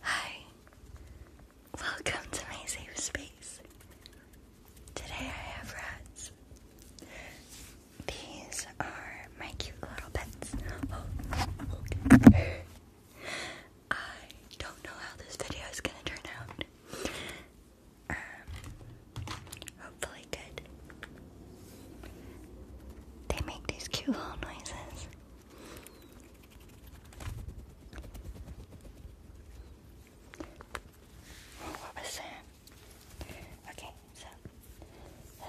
Hi, welcome to my safe space. Today I have rats. These are my cute little pets. I don't know how this video is gonna turn out. Um, hopefully good. They make these cute little noises. What was that? Okay, so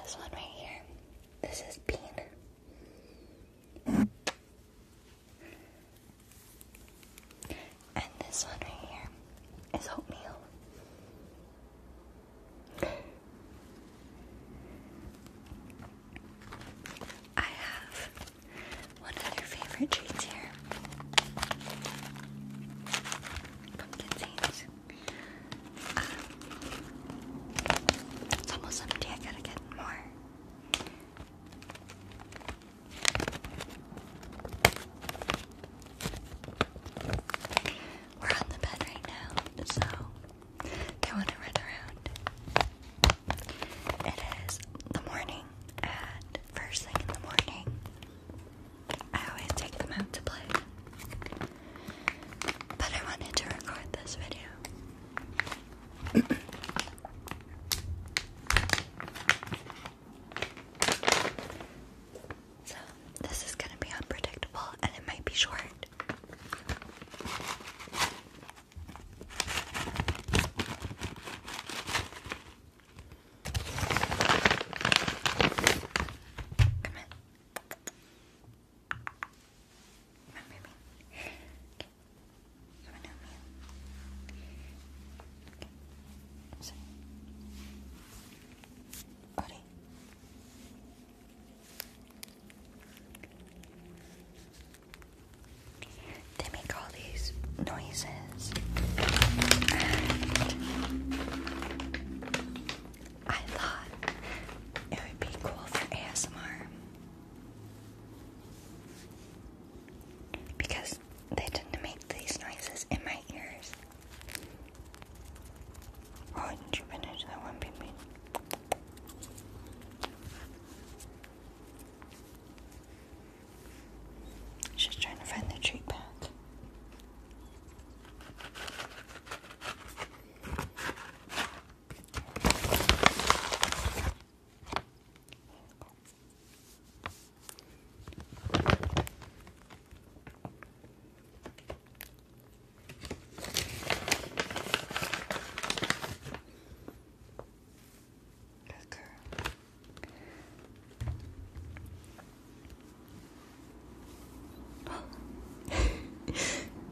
this one right here. This is bean. And this one right here is oatmeal. I have one of your favorite treats here. Pumpkin seeds. Um, it's almost empty. I gotta get more. We're on the bed right now, so they want to run around. It is the morning, and first thing in the morning, I always take them out to play. But I wanted to record this video. so, this is going to be unpredictable and it might be short card. Come on. Come on, baby. Okay. Come on, help me. Okay. Sorry. Buddy. They make all these noises. And I thought it would be cool for ASMR because they tend to make these noises in my ears. Oh, didn't you finish that one, Pimpin? She's trying to find the treat bag.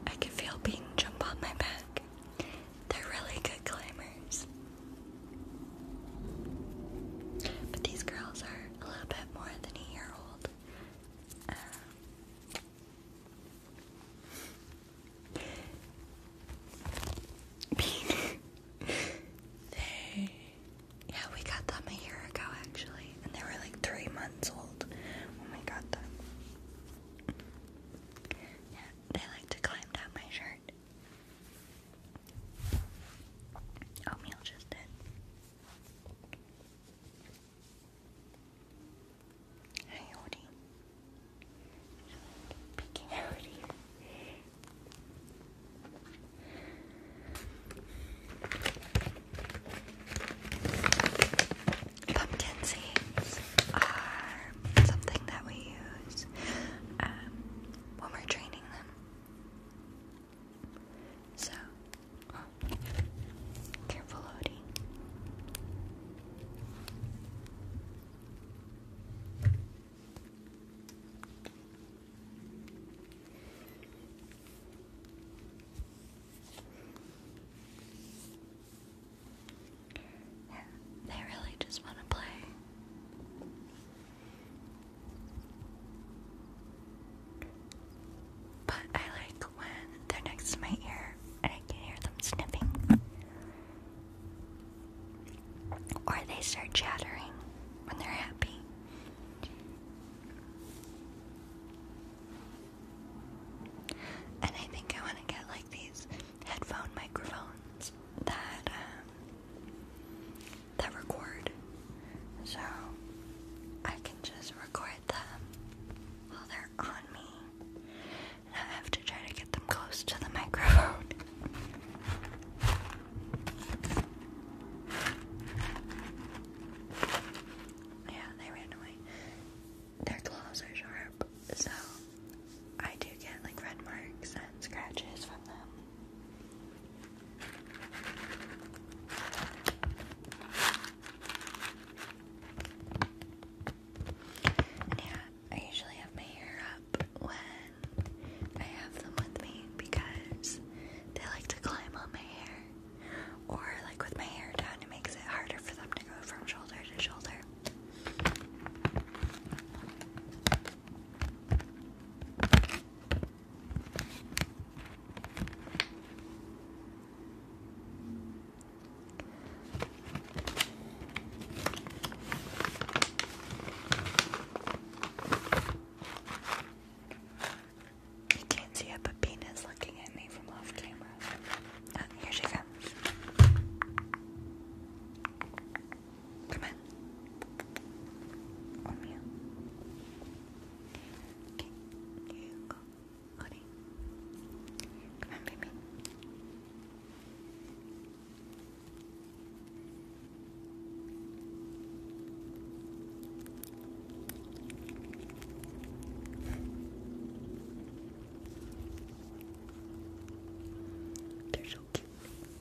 I can feel being jump on my back. They're really good climbers. But these girls are a little bit more than a year old they, yeah, we got them a year ago actually, and they were like three months old when we got them. Yeah, they like to climb down my shirt. Oatmeal oh, just did. Hi, Odie. Peeking out Pumpkin seeds are something that we use um, when we're training them. So, careful loading. They really just want to play. But I like when they're next to my ear and I can hear them sniffing. Or they start chattering when they're happy. And I think I want to get like these headphone microphones that um, that record. So I can just record them while they're on me. And I have to try to get them close to the microphone. yeah, they ran away. Their claws are sharp, so I do get like red marks and scratches from them yeah, I usually have my hair up when I have them with me because they like to climb on my hair. Or, like, with my hair down, it makes it harder for them to go from shoulder to shoulder. You can't see it, but Pena's looking at me from off camera. Uh, here she comes. Come on. On oh, you. Okay, here you go. Honey. Come on, baby. They're so cute.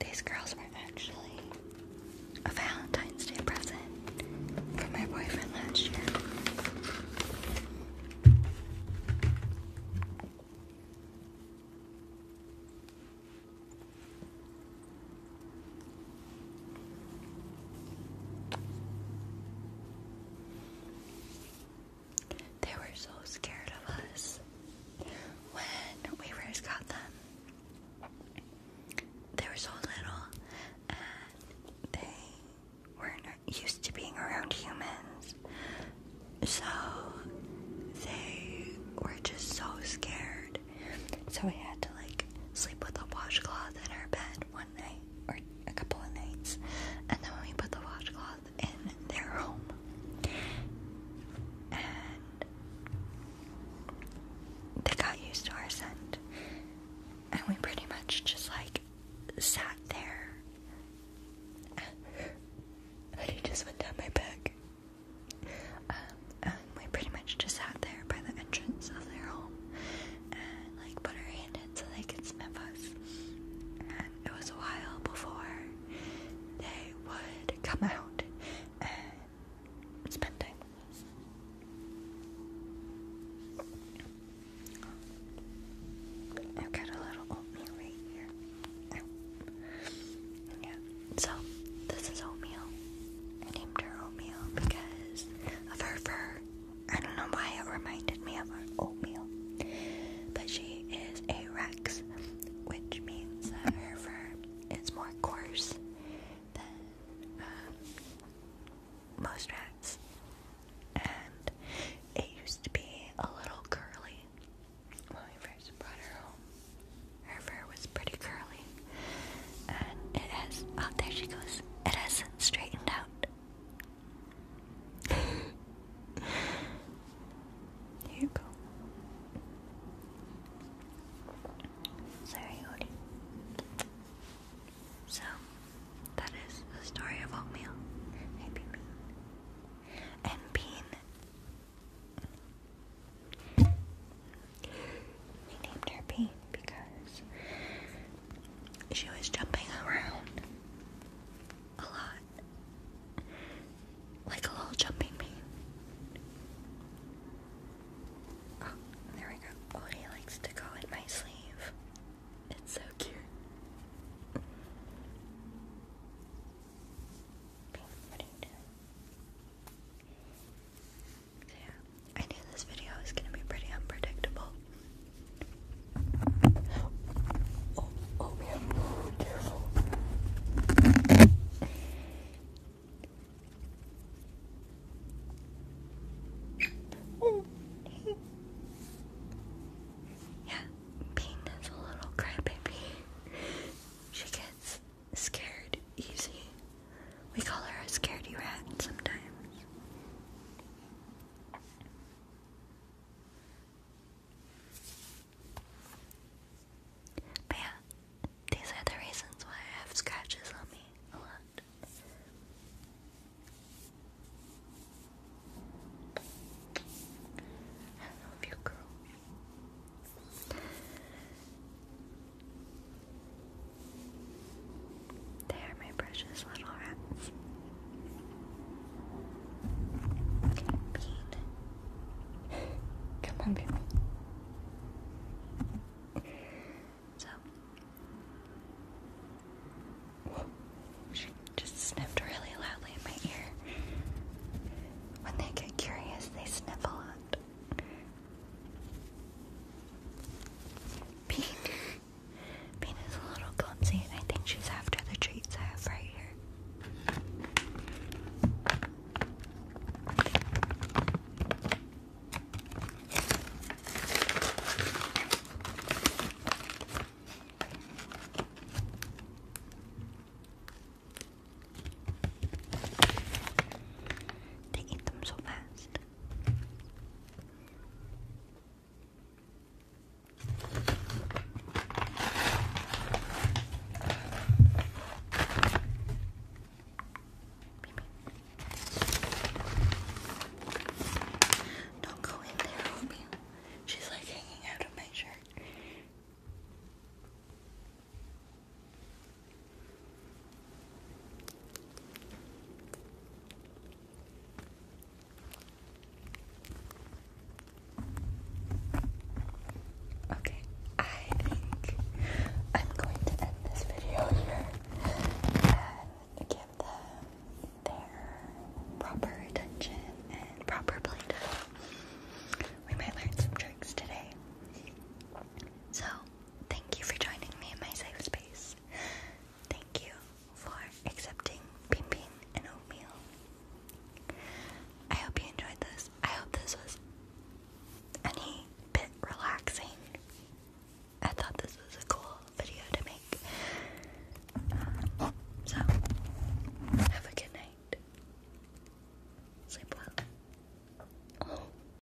These girls were actually a Valentine's Day present for my boyfriend last year. They were so scared of us when we first got them. They were so little and they weren't used to being around humans. So they were just so scared. So we had to like sleep with a washcloth in our bed one night or a couple of nights. And then when we put the washcloth in their home. And they got used to our scent. And we pretty much just like sat there. And he just went down my back. Um, and we pretty much just sat there by the entrance of their home and like put our hand in so they could sniff us it was a while before they would come out and i got a little oatmeal right here. Yeah, so this is oatmeal. named her oatmeal because of her fur. I don't know why it reminded reminded me our oatmeal. But she is a Rex, which means her fur is more coarse than uh, most rats. And it used to be a little curly when we first brought her home. Her fur was pretty curly. And it has, oh, there she goes. It has straightened out. Here you go. Sorry, Odie. So, that is the story of oatmeal. And bean. I named her bean because she was jumping around a lot, like a little jumping bean. Oh, there we go. he likes to call it my sleeve. It's so cute. Yeah, I knew this video was gonna be pretty unpredictable. Oh, oh, yeah. oh Yeah, Bean a little crybaby. She gets scared easy. We call her a scaredy rat sometimes. But yeah, these are the reasons why I have scratches on me a lot. I do you grew. They are my precious little rats. Come on, baby. So she just sniffed really loudly in my ear. When they get curious, they sniff a lot. Pete, Bean a little clumsy, and I think she's after the treats I have right here. They them so fast. Don't go in there, Ruby. She's like hanging out of my shirt. Okay, I think I'm going to end this video here and give them their proper attention and proper playtime. We might learn some tricks today. So, thank you for joining me in my safe space. Thank you for accepting Ping and Oatmeal. I hope you enjoyed this. I hope this was any bit relaxing. I thought this was a cool video to make. so, have a good night. Sleep well.